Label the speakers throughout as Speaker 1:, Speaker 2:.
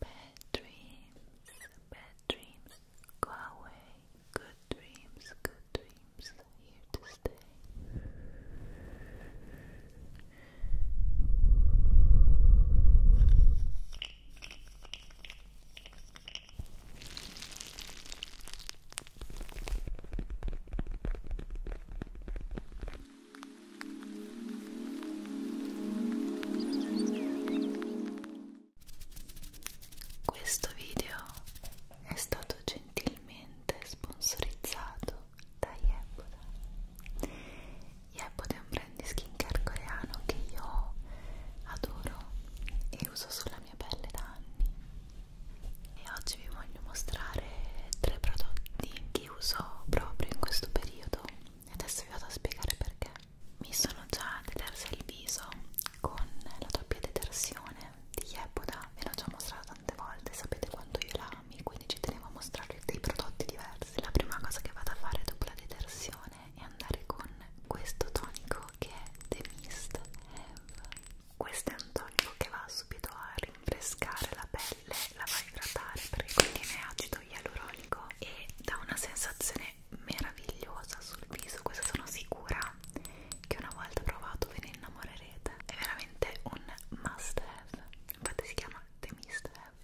Speaker 1: Bad dreams, bad dreams, go away. Good dreams, good dreams, here to stay. Questo video è stato gentilmente sponsorizzato da Yepoda. Yepoda è un brand di skincare coreano che io adoro e uso sulla mia pelle da anni. E oggi vi voglio mostrare tre prodotti che uso proprio in questo periodo adesso vi vado a spiegare perché mi sono già detersa il viso con la doppia detersione di Yepoda ve l'ho già mostrata tante volte sapete quanto io la ami quindi ci tenevo a mostrarvi dei prodotti diversi la prima cosa che vado a fare dopo la detersione è andare con questo tonico che è The Mist Eve questo è un tonico che va subito a rinfrescare la pelle la va a idratare perché contiene acido ialuronico e dà una sensazione meravigliosa sul viso, questo sono sicura che una volta provato ve ne innamorerete, è veramente un must have, infatti si chiama The Must Have.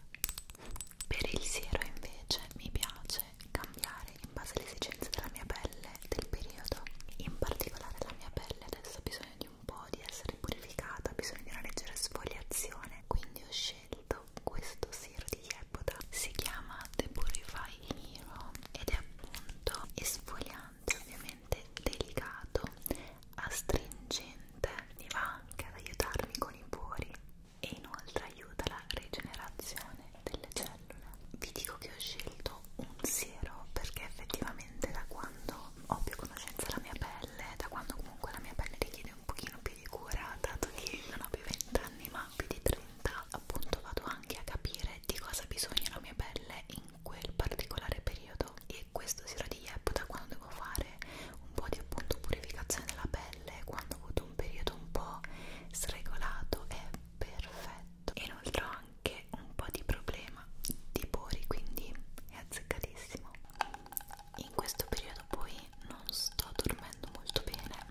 Speaker 1: Per il siero invece mi piace cambiare in base alle esigenze della mia pelle del periodo, in particolare la mia pelle adesso ha bisogno di un po' di essere purificata, ha bisogno di una leggera sfogliazione, quindi ho scelto scelto questo siero di Yepoda si chiama The Purify Hero ed è appunto esfoliante ovviamente delicato astringente mi va anche ad aiutarmi con i pori e inoltre aiuta la rigenerazione delle cellule vi dico che ho scelto un siero perché effettivamente da quando ho più conoscenza della mia pelle da quando comunque la mia pelle richiede prendere un pochino più di cura dato che non ho più 20 anni ma più di 30 appunto vado anche a capire di cosa ha bisogno la mia pelle in quel particolare periodo e questo siro di Yeputa quando devo fare un po' di appunto purificazione della pelle quando ho avuto un periodo un po' sregolato è perfetto inoltre ho anche un po' di problema di pori quindi è azzeccatissimo in questo periodo poi non sto dormendo molto bene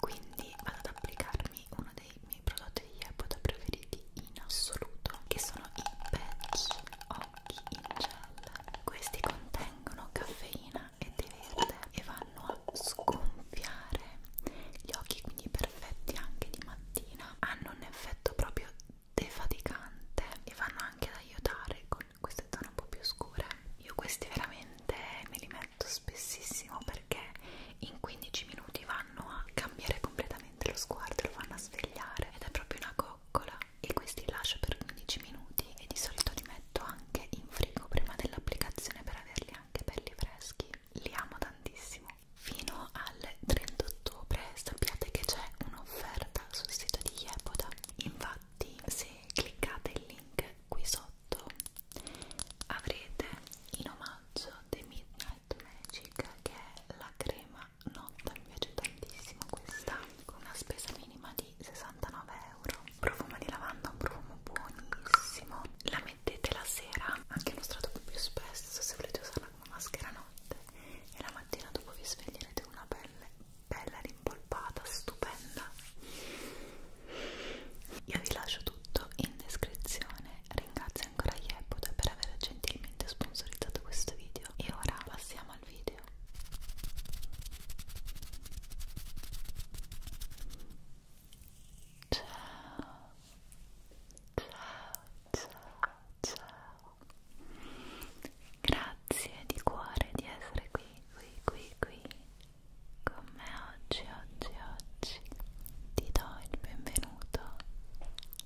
Speaker 1: quindi vado ad applicarmi uno dei miei prodotti di Yepoda preferiti in assoluto che sono i patch occhi in gel questi contengono caffeina e tè verde e vanno a sgonfiare gli occhi quindi perfetti anche di mattina hanno un effetto proprio defaticante e vanno anche ad aiutare con queste zone un po' più scure eh. io questi veramente me li metto spessissimo perché in 15 minuti vanno a cambiare completamente lo sguardo lo vanno a svegliare ed è proprio una coccola e questi li lascio per 15 minuti e di solito li metto anche in frigo prima dell'applicazione per averli anche belli freschi li amo tantissimo fino al 30 ottobre sappiate che c'è un'offerta sul sito di Yepoda in infatti se cliccate il link qui sotto avrete in omaggio The Midnight Magic che è la crema notta, mi piace tantissimo questa con una spesa minima di 69 euro profumo di lavanda, un profumo buonissimo la mettete la sera anche illustrato un po' più spesso se volete usarla come maschera notte e la mattina dopo vi sveglierete con una pelle bella rimpolpata, stupenda. Io vi lascio tutto in descrizione. Ringrazio ancora Yepoda per aver gentilmente sponsorizzato questo video. E ora passiamo al video. Ciao, ciao, ciao, ciao. Grazie di cuore di essere qui, qui, qui, qui con me oggi, oggi, oggi. Ti do il benvenuto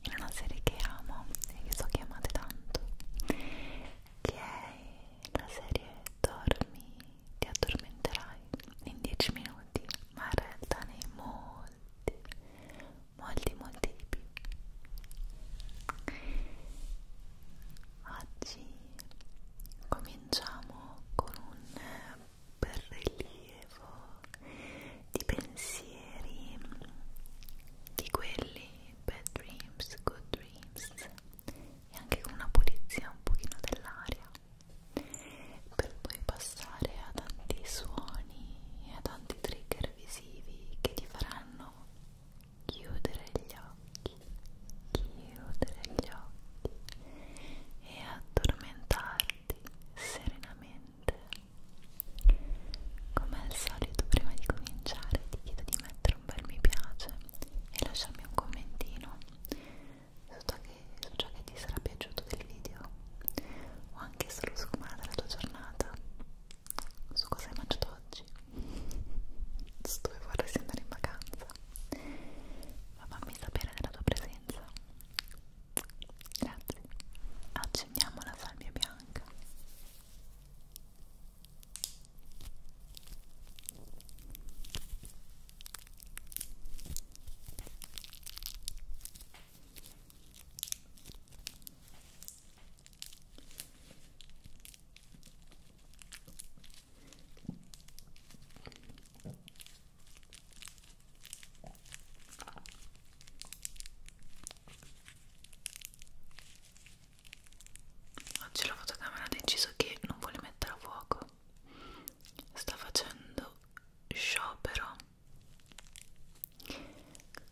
Speaker 1: in una serie che amo e che so che amate tanto, che è la serie Dormi, ti addormenterai in 10 minuti, ma in realtà nei molti, molti, molti di più. Oggi cominciamo con un bel rilievo di pensieri di quelli bad dreams, good dreams e anche con una pulizia un pochino dell'aria per poi passare a tanti suoni e a tanti trigger visivi che ti faranno chiudere gli occhi, chiudere gli occhi e addormentarti serenamente. Come al solito, prima di cominciare, ti chiedo di mettere un bel mi piace e lasciarmi un commentino che, su ciò che ti sarà piaciuto del video o anche solo su come era la tua giornata su cosa hai mangiato oggi su dove vorresti andare in vacanza ma fammi sapere della tua presenza grazie accendiamo la salvia bianca Oggi la fotocamera ha deciso che non vuole mettere a fuoco. Sta facendo sciopero.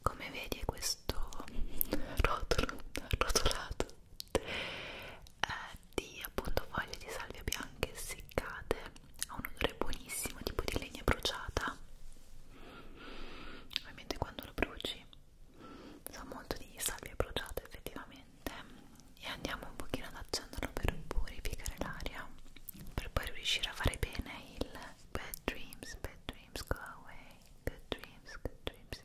Speaker 1: Come vedi è questo questo rotolo rotolato eh, di appunto foglie di salvia bianche seccate ha un odore buonissimo tipo di legna bruciata ovviamente quando lo bruci sa molto di salvia bruciata effettivamente e andiamo un pochino ad accenderlo per purificare l'aria per poi riuscire a fare bene il bad dreams bad dreams go away good dreams good dreams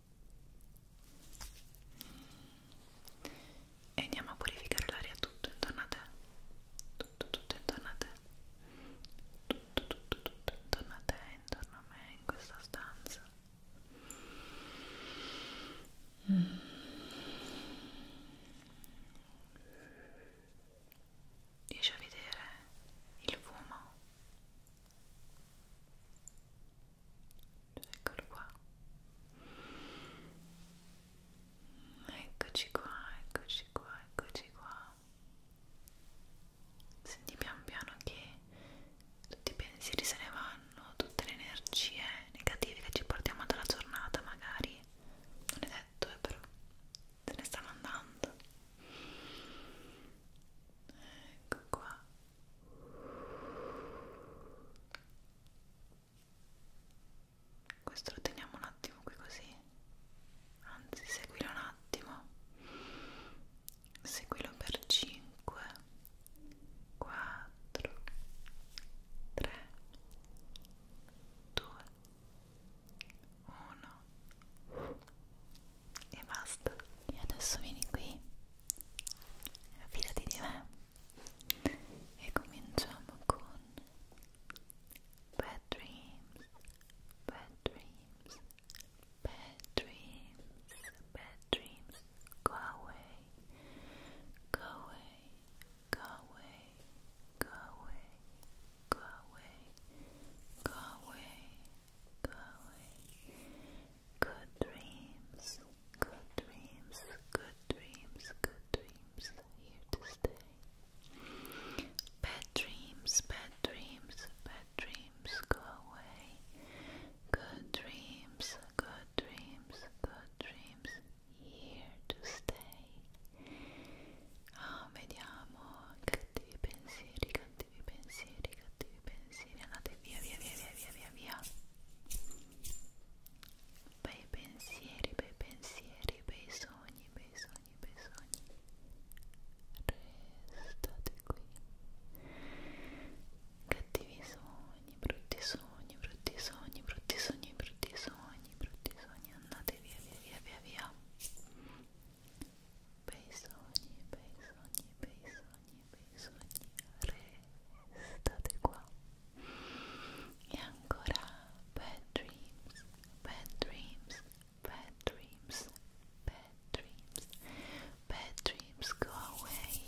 Speaker 1: e andiamo a purificare l'aria tutto intorno a te tutto tutto intorno a te tutto tutto tutto intorno a te intorno a me in questa stanza mm. riesci a vedere il fumo eccolo qua eccoci qua eccoci qua eccoci qua senti pian piano che tutti i pensieri se ne vanno tutte le energie negative che ci portiamo dalla giornata magari non è detto eh, però se ne stanno andando ecco qua questo lo teniamo un attimo qui così anzi seguilo un attimo seguilo per 5 4 3 2 1 e basta e adesso vieni qui fidati di me e cominciamo con Bad Dreams, Bad Dreams, Bad Dreams, Bad Dreams, go away, go away, go away, go away, go away, go away. Go away. Good dreams, good dreams, good dreams, good dreams are here to stay. Bad dreams, bad dreams, bad dreams go away. Good dreams, good dreams, good dreams here to stay. Ah, vediamo cattivi pensieri, cattivi pensieri, cattivi pensieri. pensieri andate via via via via via via via bei pensieri bei pensieri bei sogni bei sogni bei sogni restate qui cattivi sogni brutti sogni brutti sogni brutti sogni brutti sogni brutti sogni andate via via via via via bei sogni bei sogni bei sogni devi sognare state qua e ancora bad dreams bad dreams bad dreams bad dreams bad dreams go away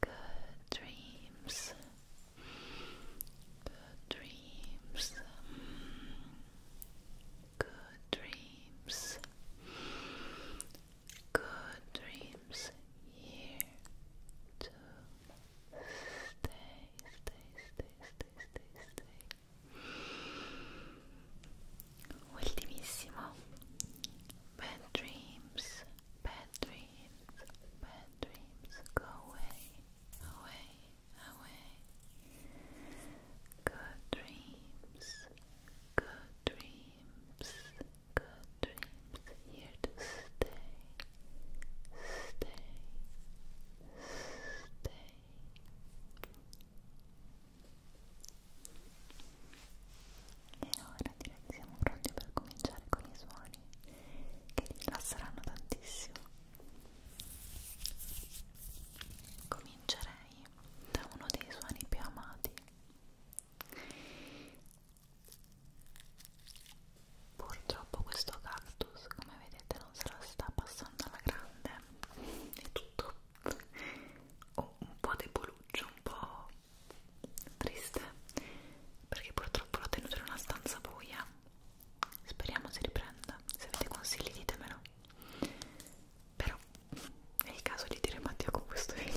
Speaker 1: good dreams Good dreams. Good dreams. Good dreams here to stay, stay, stay, stay, stay, stay. Ultimissimo. Bad dreams, bad dreams, bad dreams. Go away, away, away. Good dreams, good dreams, good dreams here to stay, stay, stay. E ora direi che siamo pronti per cominciare con i suoni che vi rilasseranno tantissimo. Comincerei da uno dei suoni più amati purtroppo questo cactus come vedete non se la sta passando alla grande è tutto oh, un po' deboluccio un po' triste perché purtroppo l'ho tenuto in una stanza buia speriamo si riprenda se avete consigli ditemelo però è il caso di dire Mattia con questo video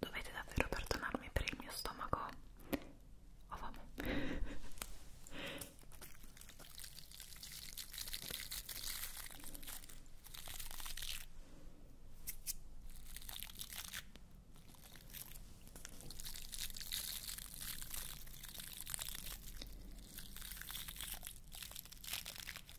Speaker 1: Dovete davvero perdonarmi per il mio stomaco. Ho oh, fame.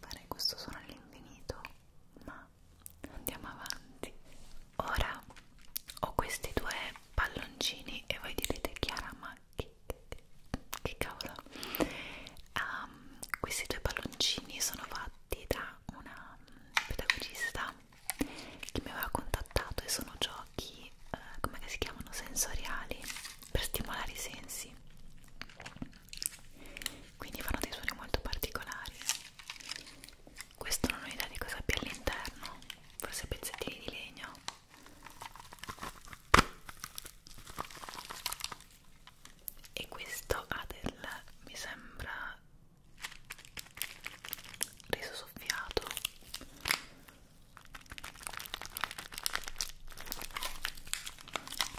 Speaker 1: Farei questo suono all'infinito, ma andiamo avanti. Ora ho questi due palloncini e voi direte Chiara, ma che, che, che cavolo? Um, questi due palloncini sono fatti da una pedagogista che mi aveva contattato e sono giochi, eh, come si chiamano, sensoriali per stimolare i sensi quindi fanno dei suoni molto particolari questo non ho idea di cosa abbia all'interno forse pezzettini di legno e questo ha del mi sembra riso soffiato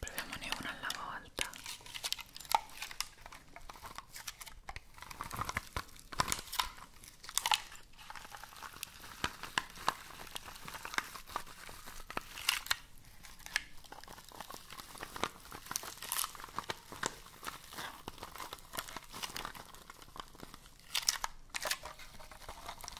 Speaker 1: proviamone una alla volta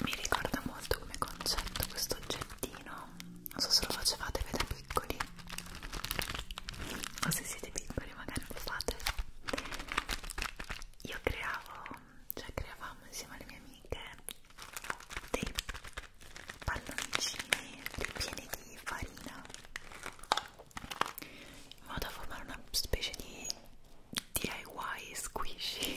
Speaker 1: Mi ricorda molto come concetto questo oggettino, non so se lo facevate voi da piccoli o se siete piccoli magari lo fate. Io creavo cioè creavamo insieme alle mie amiche dei palloncini pieni di farina in modo da formare una specie di DIY squishy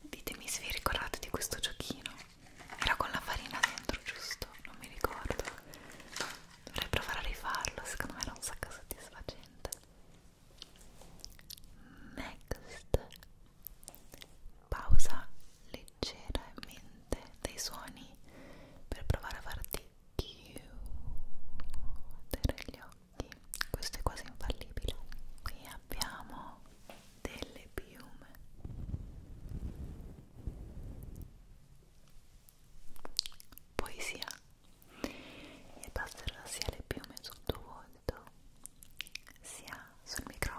Speaker 1: Ditemi se vi ricordate di questo giochino. Era con la farina dentro, giusto? Non mi ricordo dovrei provare a rifarlo, secondo me era un sacco soddisfacente next pausa leggermente dei suoni per provare a farti chiudere gli occhi questo è quasi infallibile qui abbiamo delle piume poesia e passerà sia le piume sotto volto sia sul microfono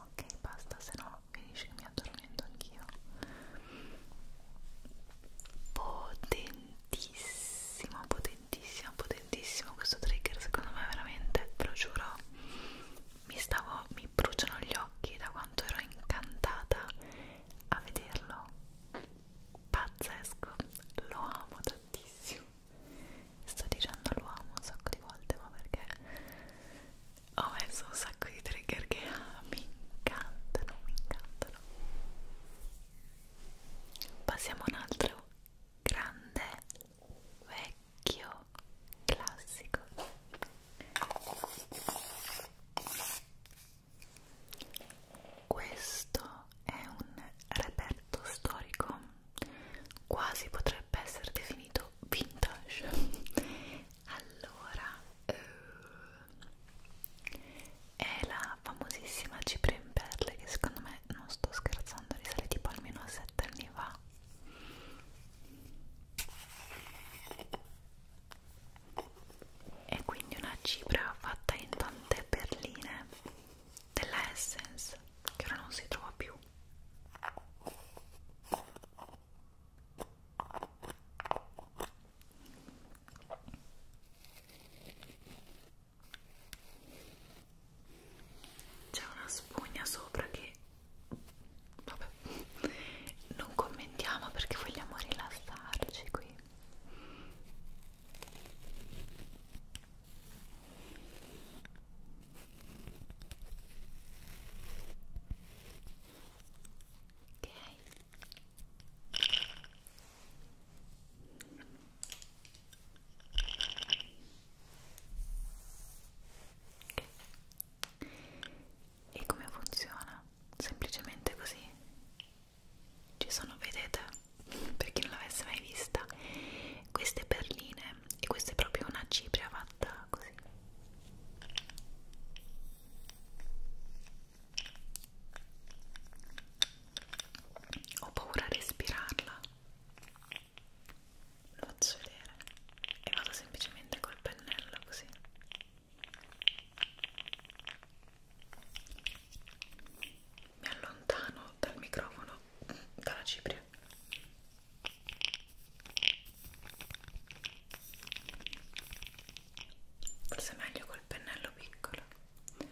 Speaker 1: Ok, basta, se no finisce che mi addormento anch'io. Potente potentissimo, potentissimo, potentissimo questo trigger, secondo me veramente, ve lo giuro, mi stavo, mi bruciano gli occhi da quanto ero incantata a vederlo, pazzesco, lo amo tantissimo, sto dicendo lo amo un sacco di volte ma perché ho messo un sacco di trigger che ah, mi incantano, mi incantano Passiamo a un altro grande, vecchio, classico. Questo è un reperto storico, quasi potrebbe essere definito vintage. Allora, eh, è la famosissima cipria in perle che secondo me non sto scherzando risale tipo almeno a 7 anni fa è quindi una cipria fatta in tante perline della Essence che ora non si trova più c'è una spugna sopra che vabbè non commentiamo perché vogliamo rilassarci qui. Ok. E come funziona? Semplicemente così. Ci sono, vedete, per chi non l'avesse mai vista, queste perline e questa è proprio una cipria fatta così. Ho paura a respirarla. Lo faccio vedere e vado semplicemente col pennello così. Mi allontano dal microfono, dalla cipria. Forse è meglio col pennello piccolo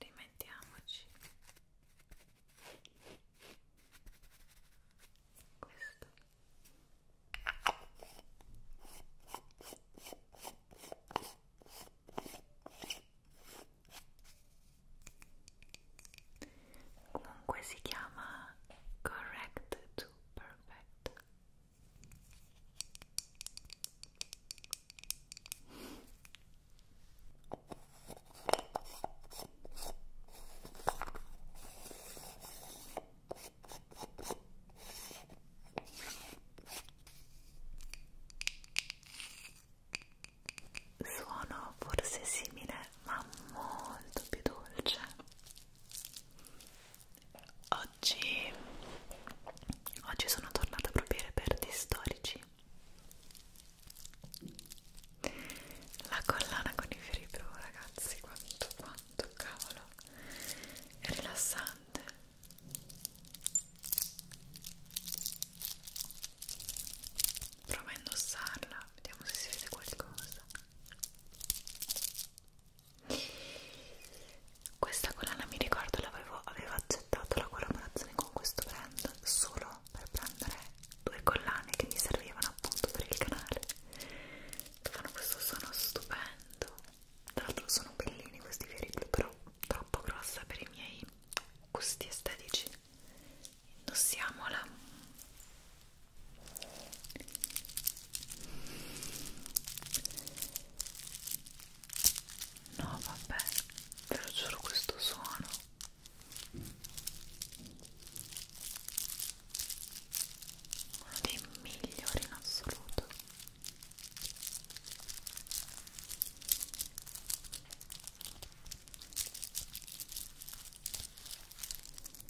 Speaker 1: rimettiamoci questo comunque si chiama correct to perfect Suono forse simile ma molto più dolce Oggi, oggi sono tornata proprio ai reperti storici. La collana con i fiori blu, ragazzi, quanto, quanto cavolo è rilassante. Prova a indossarla, vediamo se si vede qualcosa. Questa collana mi ricordo l'avevo avevo accettato la collaborazione con questo brand solo per prendere due collane che mi servivano appunto per il canale. Fanno questo suono stupendo. Tra l'altro sono bellini questi fiori blu, però troppo grossa per i miei gusti estetici. Indossiamola. No, vabbè, ve lo giuro questo suono. Uno dei migliori in assoluto.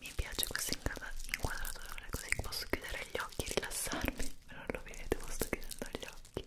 Speaker 1: Mi piace questa inquadratura così posso chiudere gli occhi e rilassarmi. Non lo vedete, ma sto chiudendo gli occhi.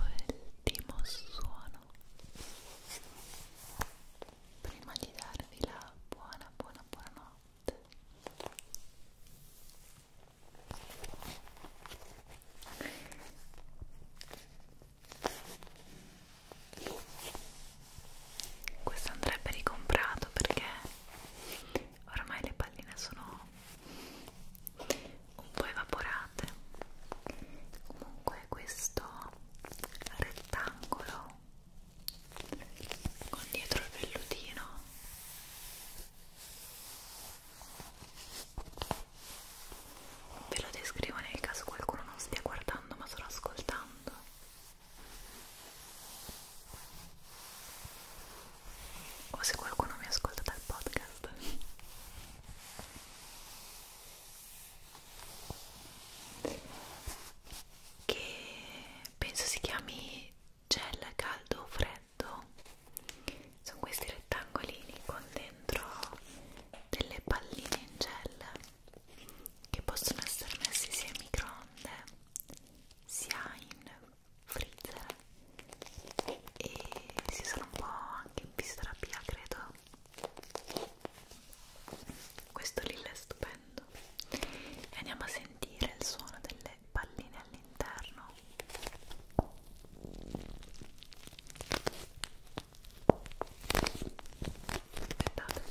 Speaker 1: ultimo suono prima di darvi la buona buona buona notte questo andrebbe ricomprato perché ormai le palline sono un po' evaporate comunque questo rettangolo con dietro il vellutino ve lo descrivo nel caso qualcuno non stia guardando ma solo ascoltando o se qualcuno mi ascolta dal podcast che penso si chiami gel caldo freddo sono questi rettangolini con dentro delle palline in gel che possono essere messi sia in microonde sia in freezer e si usano un po' anche in fisioterapia credo questo lì è stupendo e andiamo a sentire il suono delle palline all'interno aspettate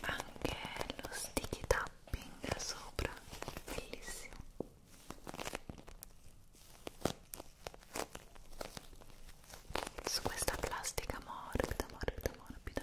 Speaker 1: Anche lo sticky tapping sopra, bellissimo su questa plastica morbida morbida morbida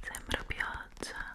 Speaker 1: Sembra pioggia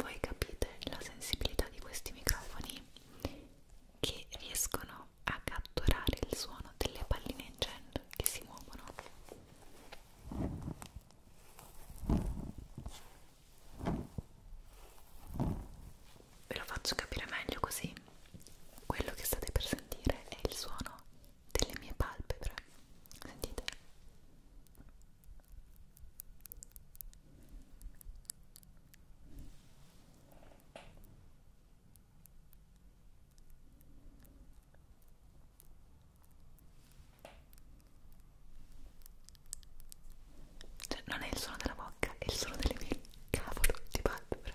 Speaker 1: Voi capite la sensibilità di questi microfoni che riescono a catturare il suono delle palline in gel che si muovono. Ve lo faccio capire meglio così. Quello che state per sentire è il suono delle mie palpebre sentite cioè, non è il suono della bocca, è il suono delle mie cavolo di palpebre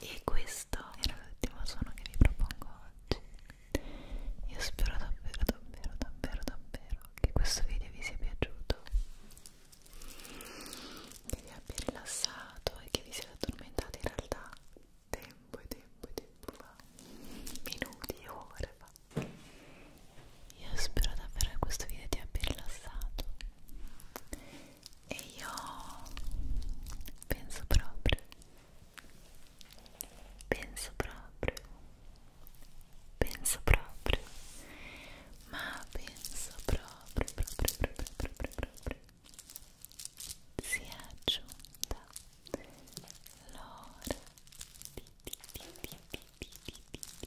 Speaker 1: e questo era l'ultimo suono che vi propongo oggi io spero davvero davvero davvero davvero che questo video vi sia piaciuto che vi abbia rilassato e che vi siate addormentati in realtà tempo e tempo e tempo fa minuti e ore fa io spero davvero che questo video ti abbia rilassato e io penso proprio penso proprio penso proprio ma penso proprio proprio proprio proprio proprio si è aggiunta l'ora di, di, di, di, di, di, di, di.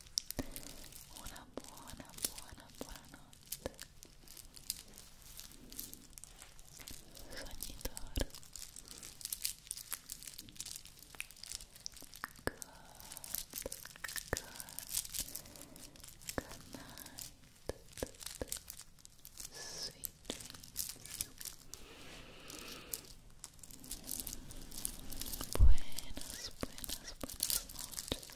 Speaker 1: uma boa uma boa Sogni d'oro. Good, good, good night. Sweet dreams. Buenas, buenas, buenas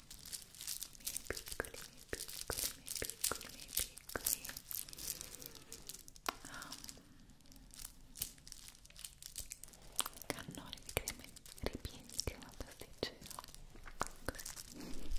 Speaker 1: miei piccoli, miei piccoli, miei piccoli, miei piccoli um, cannone di crema ripieni di crema pasticcera così un bacione